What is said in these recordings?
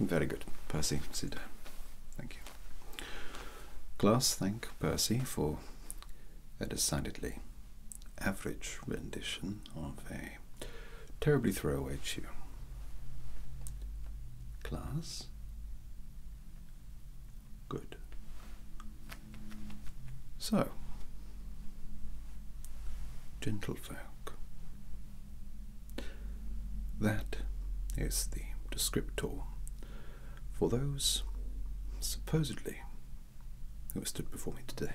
Very good, Percy, sit down. Thank you. Class, thank Percy for a decidedly average rendition of a terribly throwaway tune. Class, Good. So, gentlefolk, that is the descriptor for those supposedly who have stood before me today.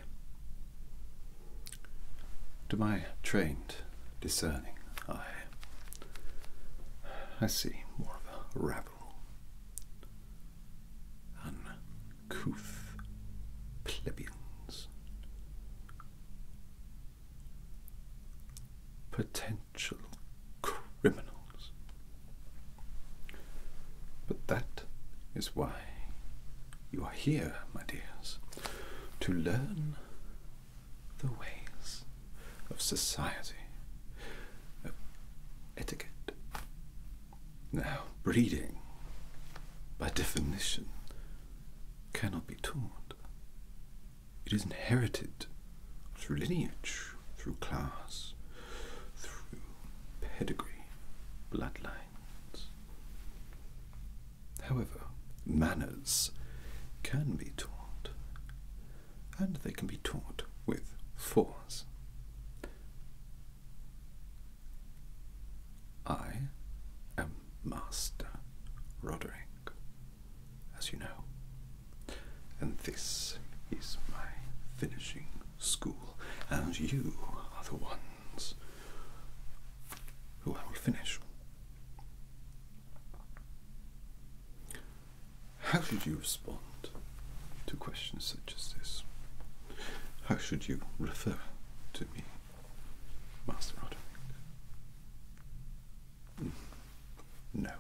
To my trained, discerning eye, I see more of a rabble uncouth plebeians, potential criminals. But that is why you are here, my dears, to learn the ways of society, of etiquette, now, breeding, by definition, cannot be taught. It is inherited through lineage, through class, through pedigree, bloodlines. However, manners can be taught, and they can be taught with force I am Master Roderick, as you know, and this is my finishing school, and you are the ones who I will finish. How should you respond to questions such as this? How should you refer to me, Master Roderick? Mm. No.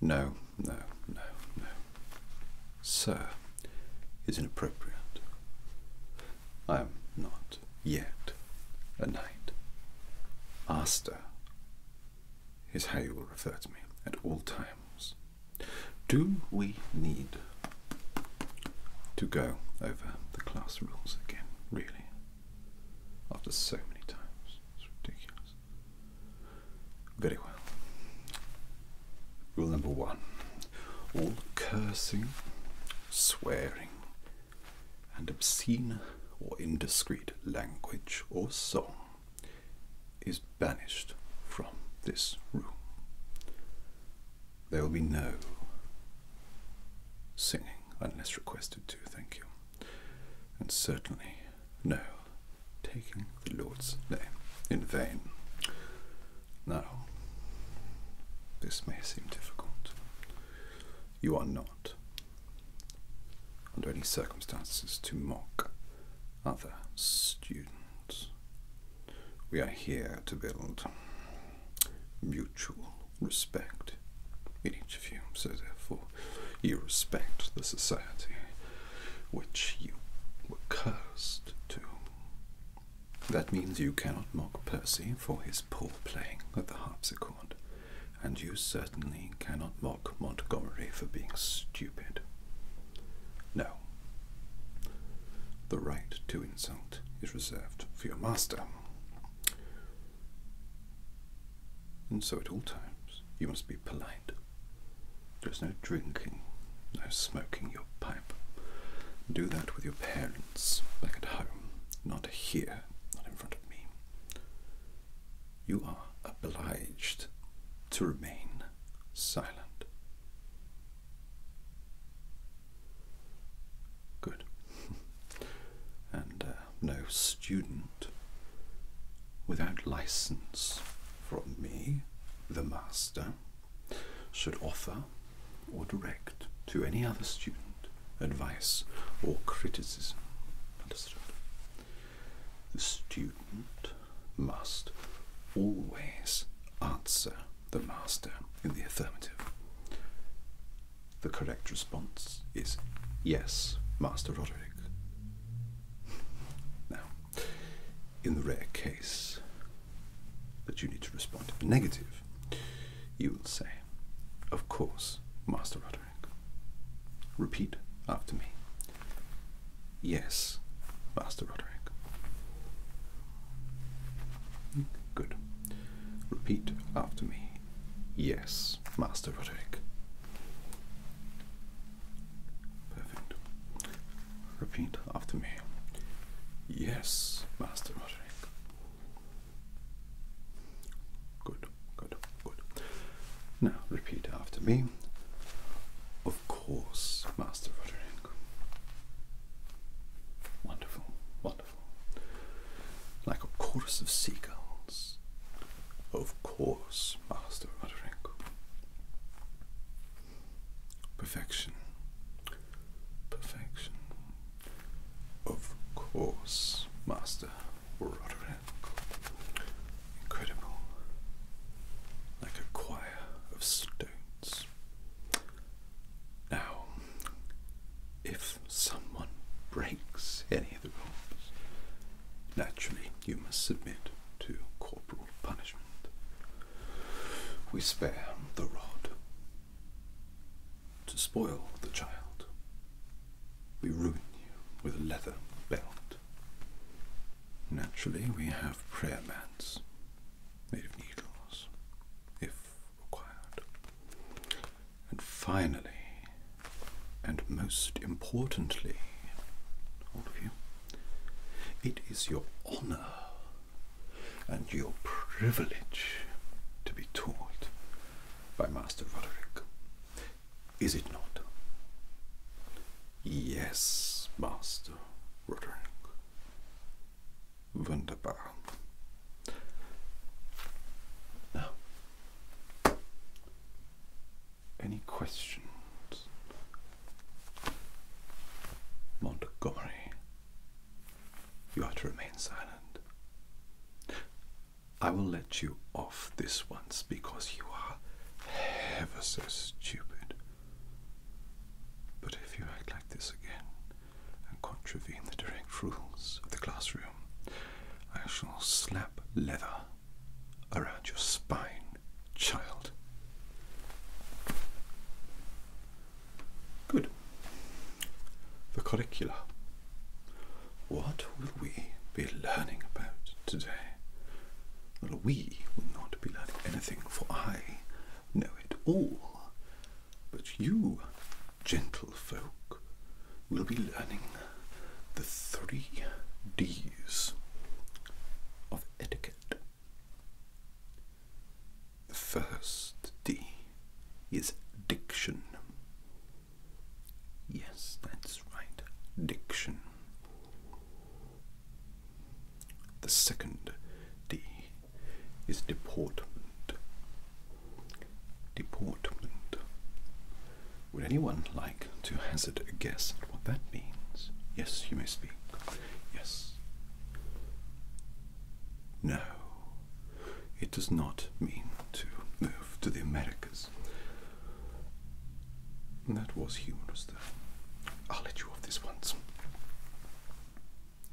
No, no, no, no. Sir is inappropriate. I am not yet a knight. Master is how you will refer to me at all times. Do we need to go over the class rules again, really? After so many times, it's ridiculous. Very well. Rule number one all cursing, swearing, and obscene or indiscreet language or song is banished from this room. There will be no singing unless requested to, thank you. And certainly no taking the Lord's name in vain. Now, this may seem difficult. You are not, under any circumstances, to mock other students. We are here to build mutual respect in each of you, so therefore you respect the society which you were cursed to. That means you cannot mock Percy for his poor playing at the harpsichord, and you certainly cannot mock. Montgomery for being stupid. No. The right to insult is reserved for your master. And so at all times you must be polite. There's no drinking, no smoking your pipe. Do that with your parents back at home, not here, not in front of me you are obliged to remain silent. Good. and uh, no student without license from me, the master, should offer or direct to any other student advice or criticism. Understood? The student must always answer the master in the affirmative. The correct response is yes, Master Roderick. Now, in the rare case that you need to respond to the negative, you will say, Of course, Master Roderick. Repeat after me. Yes, Master Roderick. Good. Repeat after me. Yes, Master Roderick. Perfect. Repeat after me. Yes, Master Roderick. Good good, good, Now repeat after me. Of course, Master Roderick. Wonderful, wonderful. Like a chorus of seagulls. Of course, Master Roderick. Perfection. Perfection. Of course, Master were autonomical, incredible, like a choir of stones. Now, if someone breaks any of the rules, naturally you must submit to corporal punishment. We spare the rod to spoil the child. We ruin you with a leather belt. Naturally, we have prayer mats made of needles, if required. And finally, and most importantly, all of you, it is your honor and your privilege to be taught by Master Roderick. Is it not? Yes, Master Roderick. Wunderbar. Now, any questions? Montgomery, you are to remain silent. I will let you off this once because you are ever so stupid. But if you act like this again and contravene the direct rules of the classroom, I shall slap leather around your spine, child. Good. The curricula. What will we be learning about today? Well, we will not be learning anything, for I know it all. But you, gentlefolk, will be learning the three D's of etiquette. The first D is diction. Yes, that's right. Diction. The second D is deportment. Deportment. Would anyone like to hazard a guess at what that means? Yes, you may speak. Yes. No. It does not mean to move to the Americas. That was humorous, though. I'll let you off this once.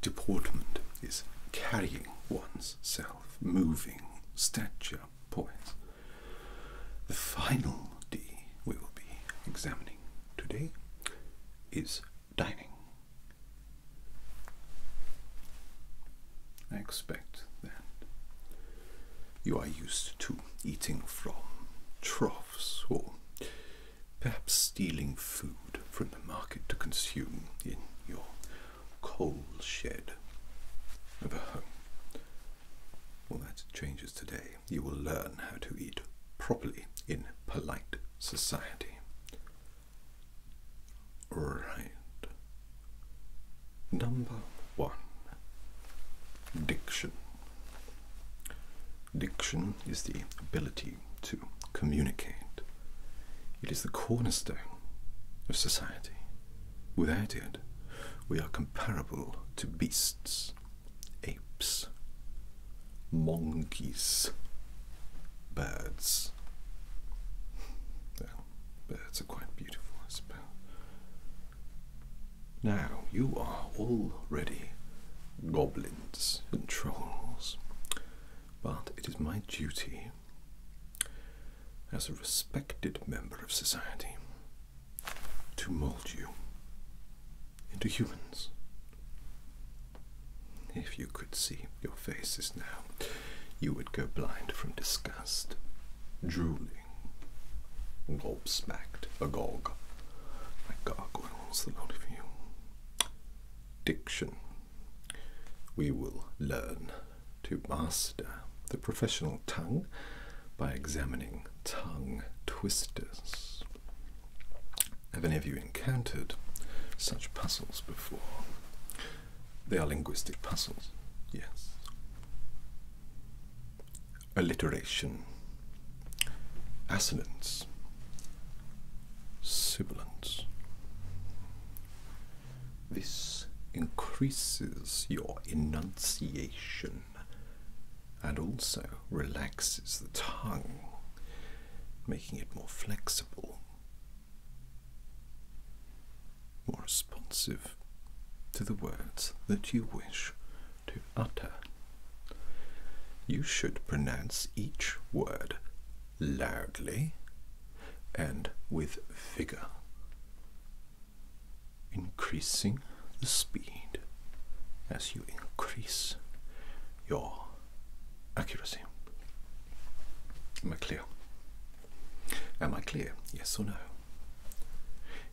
Deportment is carrying one's self, moving, stature, poise. The final D we will be examining today is dining. I expect that you are used to eating from troughs or perhaps stealing food from the market to consume in your coal shed of a home. Well, that changes today. You will learn how to eat properly in polite society. Right. Number one Diction. Diction is the ability to communicate, it is the cornerstone of society. Without it, we are comparable to beasts, apes, monkeys, birds. Birds are quite beautiful I suppose. Now you are already goblins and trolls, but it is my duty as a respected member of society to mold you into humans. If you could see your faces now, you would go blind from disgust drooling, gobsmacked, agog. My gargoyles, the lot of you. Diction. We will learn to master the professional tongue by examining tongue twisters. Have any of you encountered such puzzles before? They are linguistic puzzles, yes. Alliteration, assonance, sibilance. This increases your enunciation and also relaxes the tongue, making it more flexible more responsive to the words that you wish to utter. You should pronounce each word loudly and with vigor, increasing the speed as you increase your accuracy. Am Am I clear? Yes or no?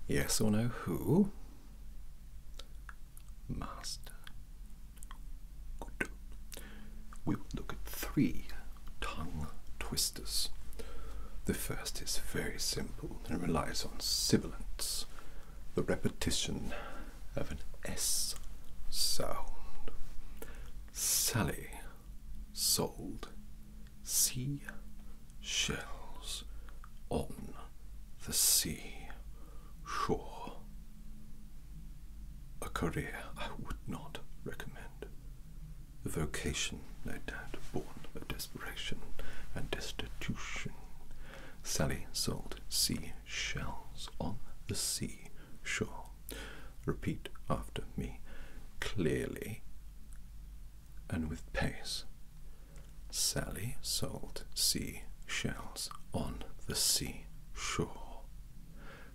Yes or no? Who? Master. Good. We will look at three tongue twisters. The first is very simple and relies on sibilants, the repetition of an S sound. Sally sold sea shells on the sea shore. A career I would not recommend. A vocation, no doubt, born of desperation and destitution. Sally sold sea shells on the sea shore. Repeat after me clearly, and with pace. Sally sold sea shells on the sea shore.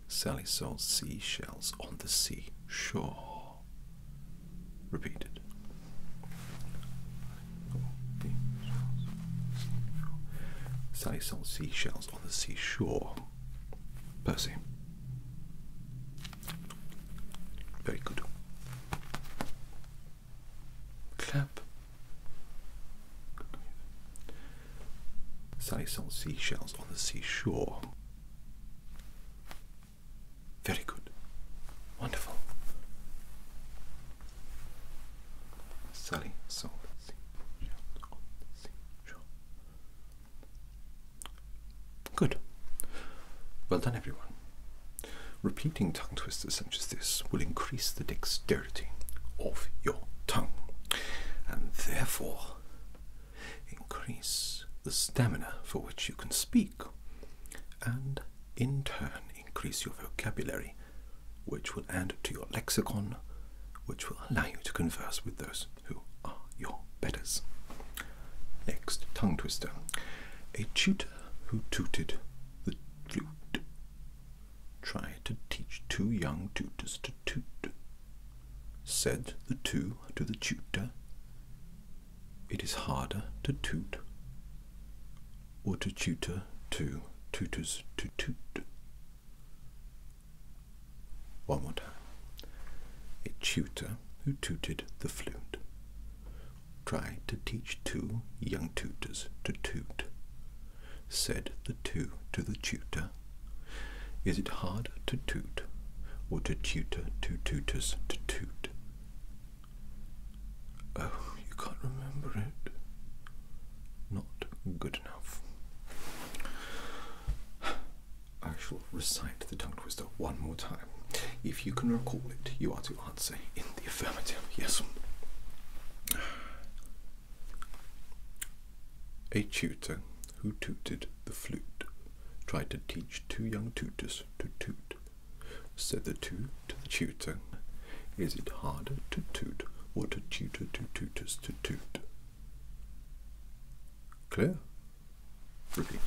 Sally sold sea shells on the sea shore. Repeated. Sally sold shells on the sea shore. Percy. Very good. Clap. Sally sells seashells on the seashore. Very good. Wonderful. Sally sold seashells on the seashore. Good. Well done, everyone. Repeating tongue twisters such as this will increase the dexterity of your tongue and therefore increase the stamina for which you can speak and in turn increase your vocabulary which will add to your lexicon which will allow you to converse with those who are your betters. Next, tongue twister. A tutor who tooted the flute tried to teach two young tutors to toot. Said the two to the tutor, It is harder to toot or to tutor two tutors to toot. One more time. A tutor who tooted the flute tried to teach two young tutors to toot. Said the two to the tutor, Is it hard to toot or to tutor two tooters to toot? Oh, you can't remember it. Not good enough. I shall recite the tongue twister one more time. If you can recall it, you are to answer in the affirmative. Yes. A tutor who tooted the flute tried to teach two young tutors to toot. Said the toot to the tutor, Is it harder to toot or to tutor two tutors to toot? Clear? Repeat.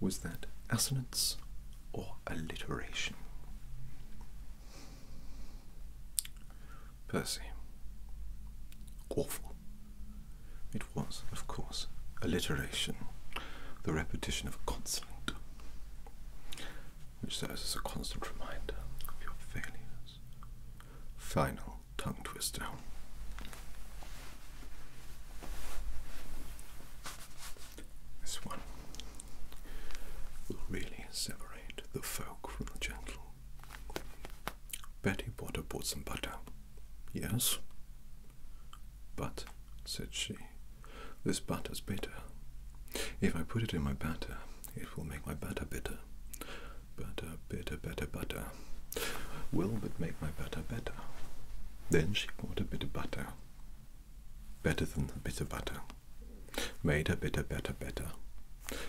was that assonance or alliteration? Percy. Awful. It was, of course, alliteration, the repetition of a consonant, which serves as a constant reminder of your failures. Final tongue twister. This one will really separate the folk from the gentle. Betty Potter bought some butter. Yes. But, said she, this butter's bitter. If I put it in my batter, it will make my batter bitter. Butter, bitter, better, butter. Will but make my batter better. Then she bought a bit of butter. Better than the bitter butter. Made a bitter, better, better.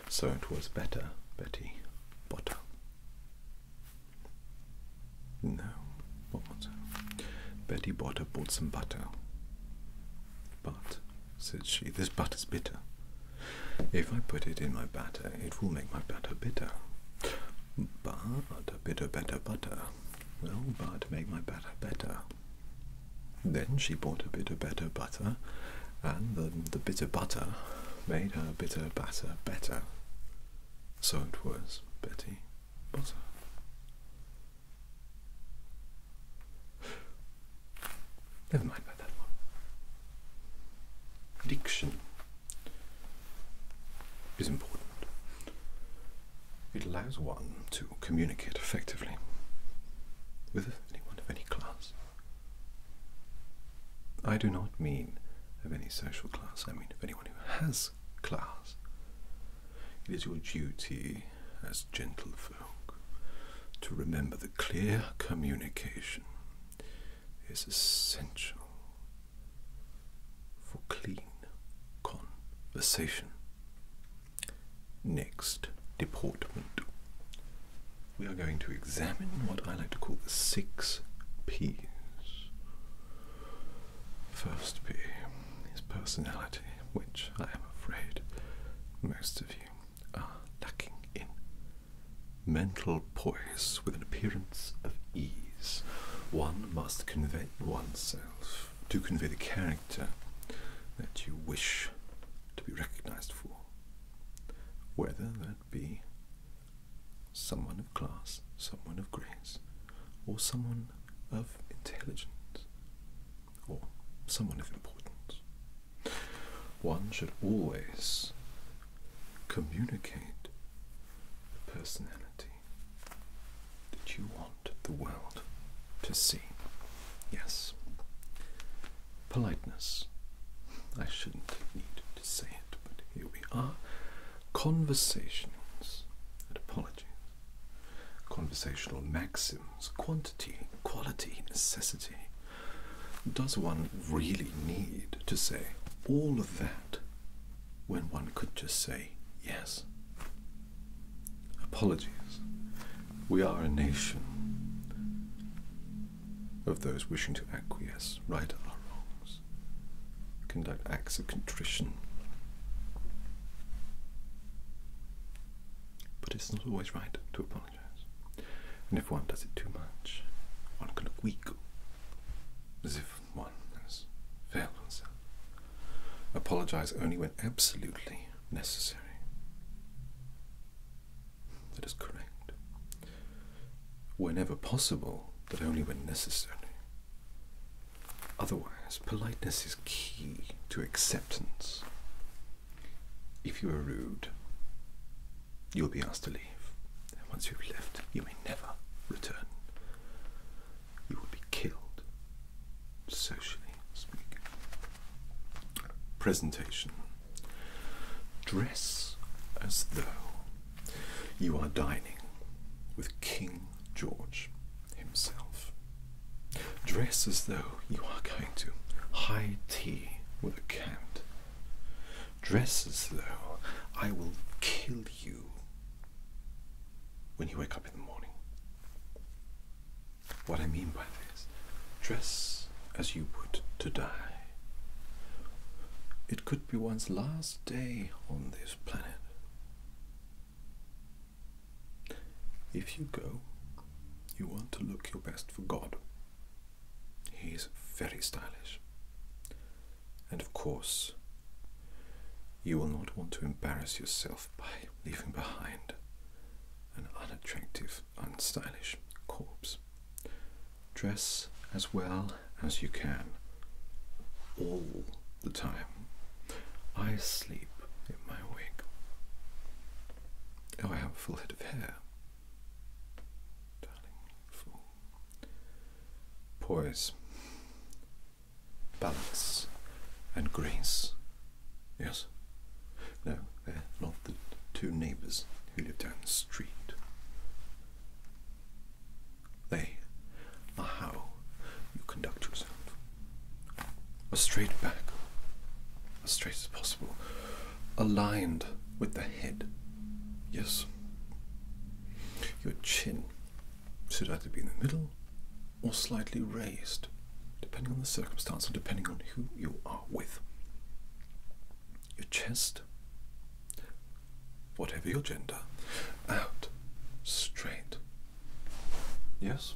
So it was better, Betty Botter. No, what was it? Betty Botter bought some butter. But, said she, this butter's bitter. If I put it in my batter, it will make my batter bitter. But a bitter, better butter will but make my batter better. Then she bought a bit of better butter, and the, the bitter butter made her bitter batter better. So it was Betty Butter. Never mind about that one. Diction is important. It allows one to communicate effectively with anyone of any class. I do not mean of any social class, I mean of anyone who has class. It is your duty as gentlefolk to remember that clear communication is essential for clean conversation. Next deportment. We are going to examine what I like to call the six P's. First P is personality, which I am afraid most of you are lacking in. Mental poise with an appearance of ease. One must convey oneself to convey the character that you wish to be recognized for, whether that be someone of class, someone of grace, or someone of intelligence, or someone of importance. One should always communicate the personality that you want the world to see. Yes politeness. I shouldn't need to say it, but here we are. Conversations and apologies. Conversational maxims, quantity, quality, necessity. Does one really need to say all of that when one could just say yes? Apologies. We are a nation of those wishing to acquiesce, right our wrongs, conduct acts of contrition. But it's not always right to apologize. And if one does it too much, one can look weak, as if one has failed oneself. Apologize only when absolutely necessary. That is correct. Whenever possible, but only when necessary. Otherwise, politeness is key to acceptance. If you are rude, you will be asked to leave. And once you've left, you may never return. You will be killed socially speaking. Presentation. Dress as though you are dining with King George himself. Dress as though you are going to high tea with a count. Dress as though I will kill you when you wake up in the morning. What I mean by this dress as you would to die. It could be one's last day on this planet. If you go, you want to look your best for God. He is very stylish. And of course, you will not want to embarrass yourself by leaving behind an unattractive, unstylish corpse. Dress as well as you can all the time. I sleep in my wig. I have a full head of hair. Darling, Poise, balance, and grace Yes. No, they're not the two neighbours who live down the street. They are how you conduct yourself. As straight back, as straight as possible, aligned with the head. Yes. Your chin should either be in the middle or slightly raised, depending on the circumstance and depending on who you are with. Your chest, whatever your gender, out, straight. Yes?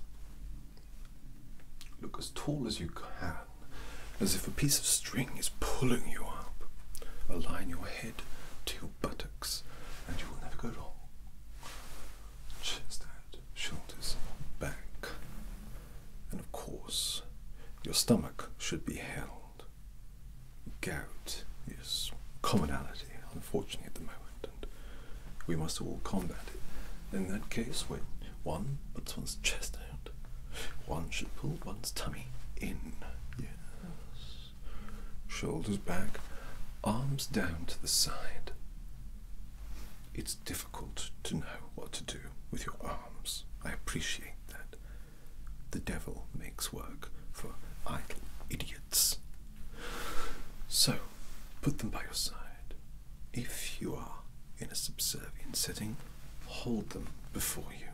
Look as tall as you can, as if a piece of string is pulling you up. Align your head to your buttocks, and you will never go wrong chest out, shoulders back. And of course, your stomach should be held. Gout is commonality, unfortunately, at the moment, and we must all combat it. In that case, when one puts one's chest out, one should pull one's tummy in. Yes. Shoulders back, arms down to the side. It's difficult to know what to do with your arms. I appreciate that. The devil makes work for idle idiots. So, put them by your side. If you are in a subservient setting, hold them before you.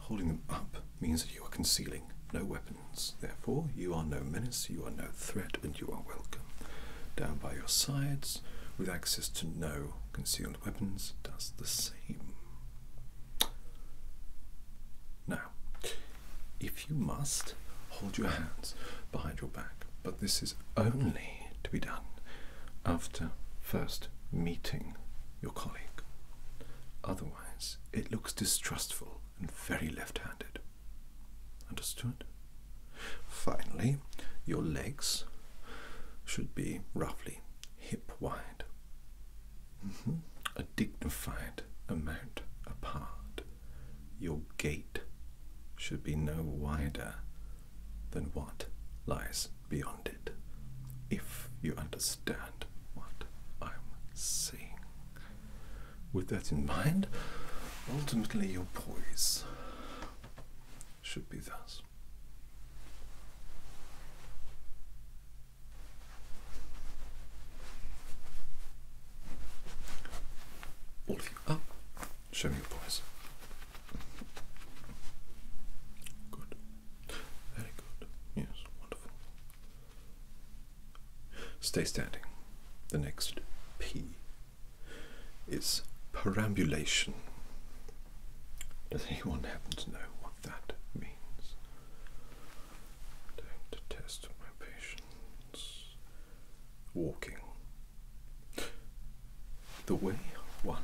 Holding them up means that you are concealing no weapons. Therefore, you are no menace, you are no threat and you are welcome. Down by your sides, with access to no concealed weapons, does the same. Now, if you must, hold your hands behind your back, but this is only to be done after first meeting your colleague. Otherwise, it looks distrustful and very left-handed. Understood? Finally, your legs should be roughly hip wide, mm-hmm. a dignified amount apart. Your gait should be no wider than what lies beyond it, if you understand what I'm saying with that in mind, ultimately your poise should be thus. All up, show me your poise. Good. Very good. Yes, wonderful. Stay standing. The next P is perambulation. Does anyone happen to know what that means? Don't detest my patience. Walking. The way one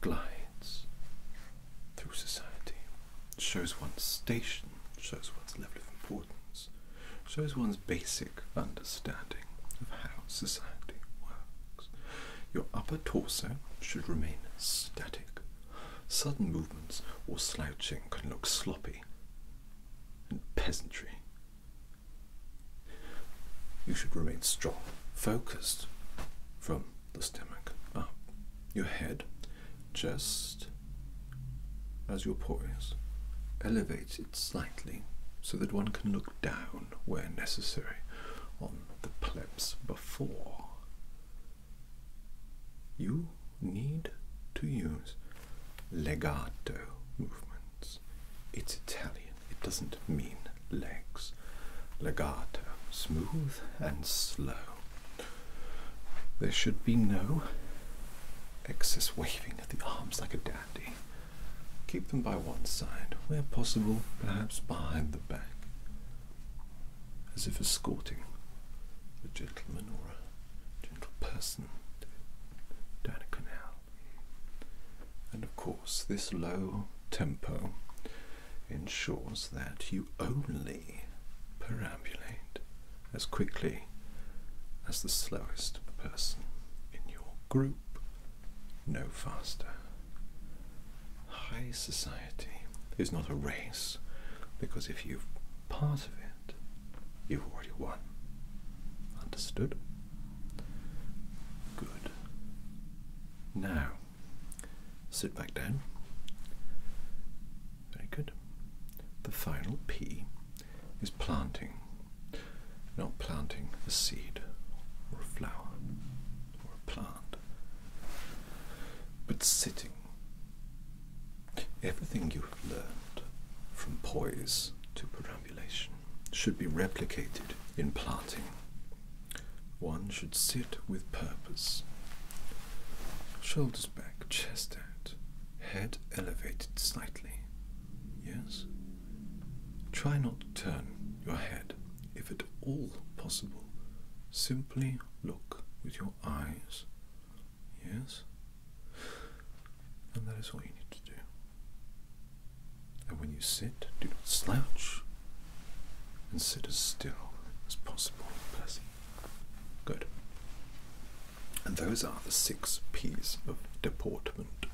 glides through society shows one's station, shows one's level of importance one's shows one's basic understanding of how society works. Your upper torso should remain static. Sudden movements or slouching can look sloppy and peasantry. You should remain strong, focused from the stomach up. Your head just as your poise elevates it slightly so that one can look down where necessary on the plebs before. You need to use legato movements. It's Italian, it doesn't mean legs. Legato, smooth and slow. There should be no excess waving of the arms like a dandy. Keep them by one side, where possible, perhaps behind the back, as if escorting a gentleman or a gentle person down a canal. And of course, this low tempo ensures that you only perambulate as quickly as the slowest person in your group, no faster. High society is not a race, because if you're part of it, you've already won. Understood? Good. Now, sit back down. Very good. The final P is planting, not planting a seed or a flower or a plant, but sitting. Everything you have learned from poise to perambulation should be replicated in planting. One should sit with purpose, shoulders back, chest out, head elevated slightly. Yes? Try not to turn your head if at all possible. Simply look with your eyes. Yes? And that is all you need to do. And when you sit, do not slouch and sit as still as possible, Percy. Good. And those are the six P's of deportment.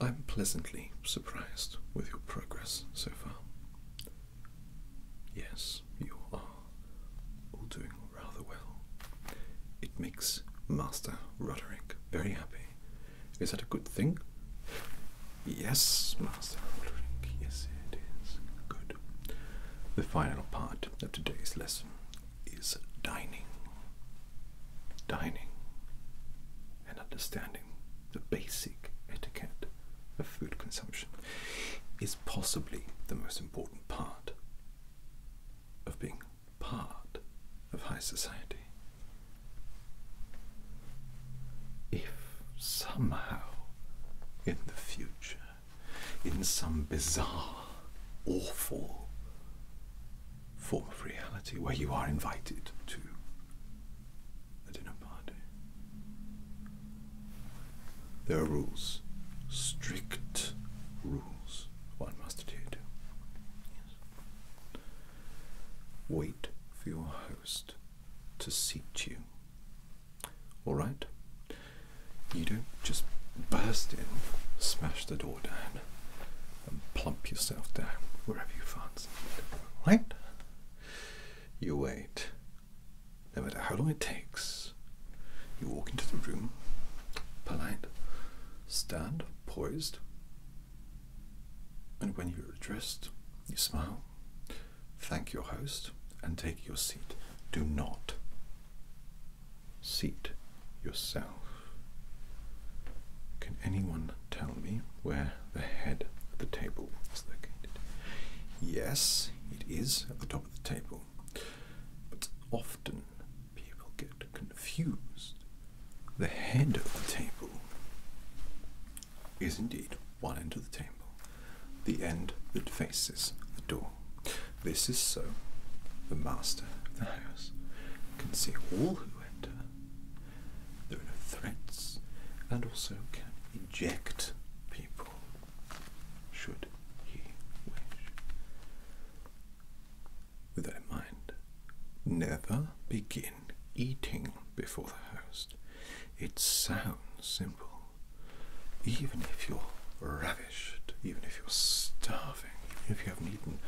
I'm pleasantly surprised with your progress so far. Yes, you are all doing rather well. It makes Master Roderick very happy. Is that a good thing? Yes, Master Roderick, yes, it is. Good. The final part that today's lesson is dining. Dining and understanding the basic etiquette of food consumption is possibly the most important part of being part of high society. If somehow in the future in some bizarre, awful form of reality where you are invited to a dinner party. There are rules, strict rules one must adhere to. Wait for your host to seat you all right. You don't just burst in, smash the door down, and plump yourself down wherever you fancy. Right? You wait. No matter how long it takes, you walk into the room, polite, stand poised, and when you're addressed, you smile, Thank your host and take your seat. Do not seat yourself. Can anyone tell me where the head of the table is located? Yes, it is at the top of the table, but often people get confused. The head of the table is indeed one end of the table, the end that faces the door. This is so the master of the house can see all who enter. There are no threats and also can eject people should he wish. With that in mind, never begin eating before the host. It sounds simple, even if you're ravished, even if you're starving, even if you haven't eaten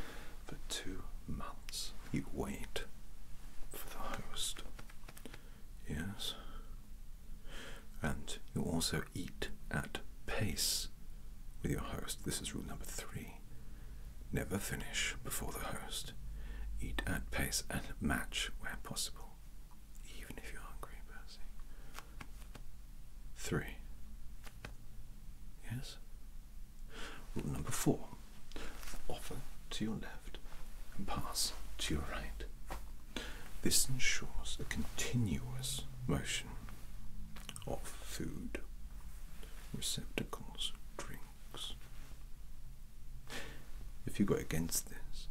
for two months, you wait for the host. Yes. And you also eat at pace with your host. This is rule number three. Never finish before the host. Eat at pace and match where possible even if you're hungry, Percy. Three. Yes? Rule number four offer to your left and pass to your right. This ensures a continuous motion of food, receptacles, drinks. If you go against this,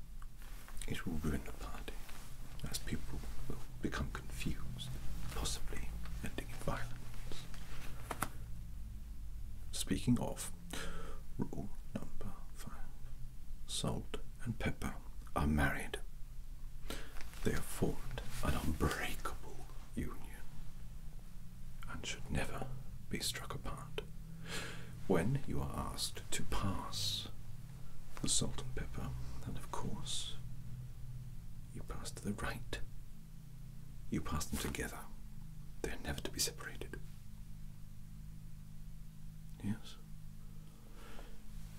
it will ruin the party, as people will become confused, possibly ending in violence. Speaking of, rule number five salt and pepper are married. They have formed an unbreakable union and should never be struck apart. When you are asked to pass the salt and pepper, and of course, you pass to the right. You pass them together. They're never to be separated. Yes?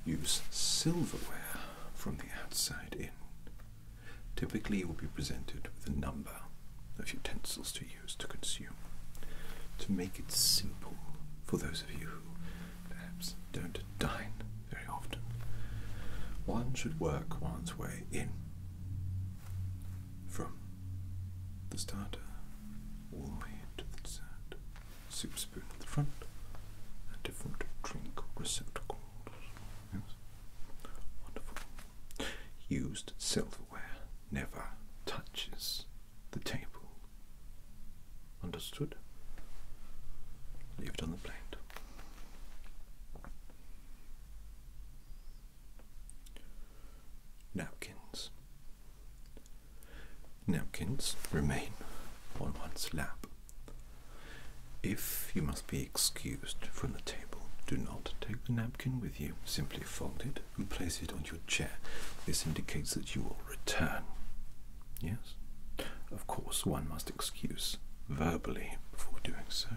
Use silverware from the outside in. Typically, you will be presented with a number of utensils to use to consume. To make it simple for those of you who perhaps don't dine very often, one should work one's way in from the starter all the way to the dessert. Soup spoon at the front and different drink receptacles. Wonderful. Used silverware never touches the table. Understood? Leave on the plate. Napkins. Napkins remain on one's lap. If you must be excused from the table, do not take the napkin with you. Simply fold it and place it on your chair. This indicates that you will return. Yes? Of course, one must excuse verbally before doing so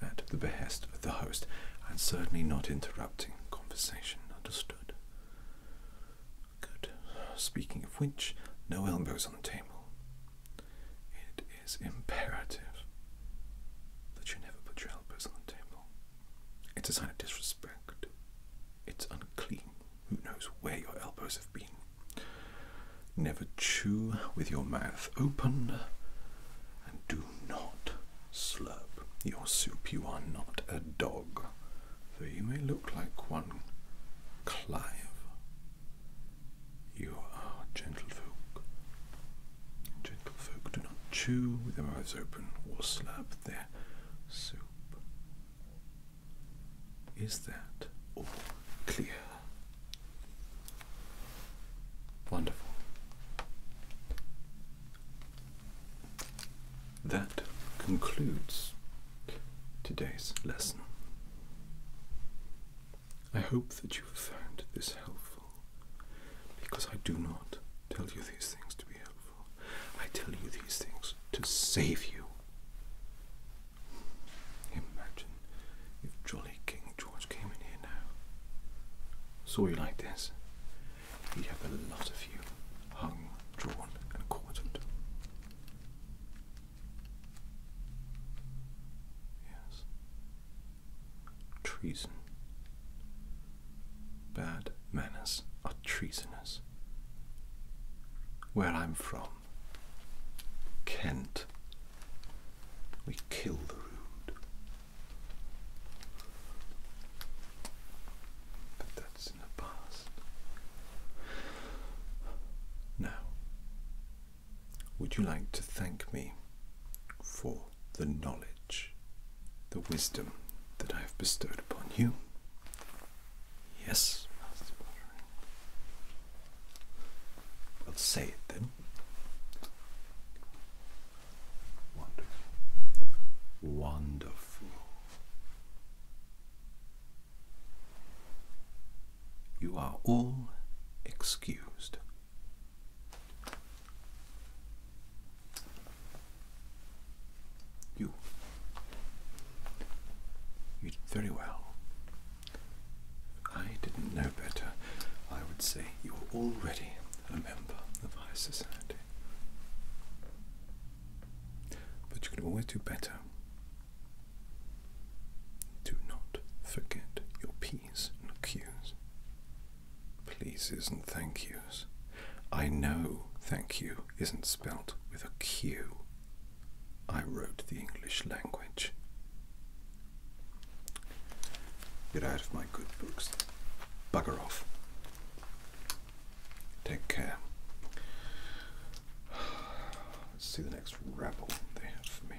at the behest of the host, and certainly not interrupting conversation. Understood? Good. Speaking of which, no elbows on the table. It is imperative that you never put your elbows on the table. It's a sign of disrespect. It's unclean. Who knows where your elbows have been? Never chew with your mouth open, and do not slurp your soup. You are not a dog, though you may look like one. Clive, you are gentlefolk. Gentlefolk do not chew with their mouths open or slurp their soup. Is that all clear? Wonderful. That concludes today's lesson. I hope that you have found this helpful because I do not tell you these things to be. I tell you these things to save you. Imagine if jolly King George came in here now, saw you like this, he'd have a lot of you hung, drawn, and quartered. Yes. Treason Bad manners are treasonous. Where I'm from, Kent, we kill the rude. But that's in the past. Now, would you like to thank me for the knowledge, the wisdom that I have bestowed upon you. Yes, Master I'll say it then. Wonderful. Wonderful. You are all excused. You. You did very well. I didn't know better. I would say you are already a member of high society. But you can always do better. Do not forget your P's and Q's pleases and thank yous. I know thank you isn't spelt with a Q. I wrote the English language. Get out of my good books. Bugger off. Take care. Let's see the next rabble they have for me.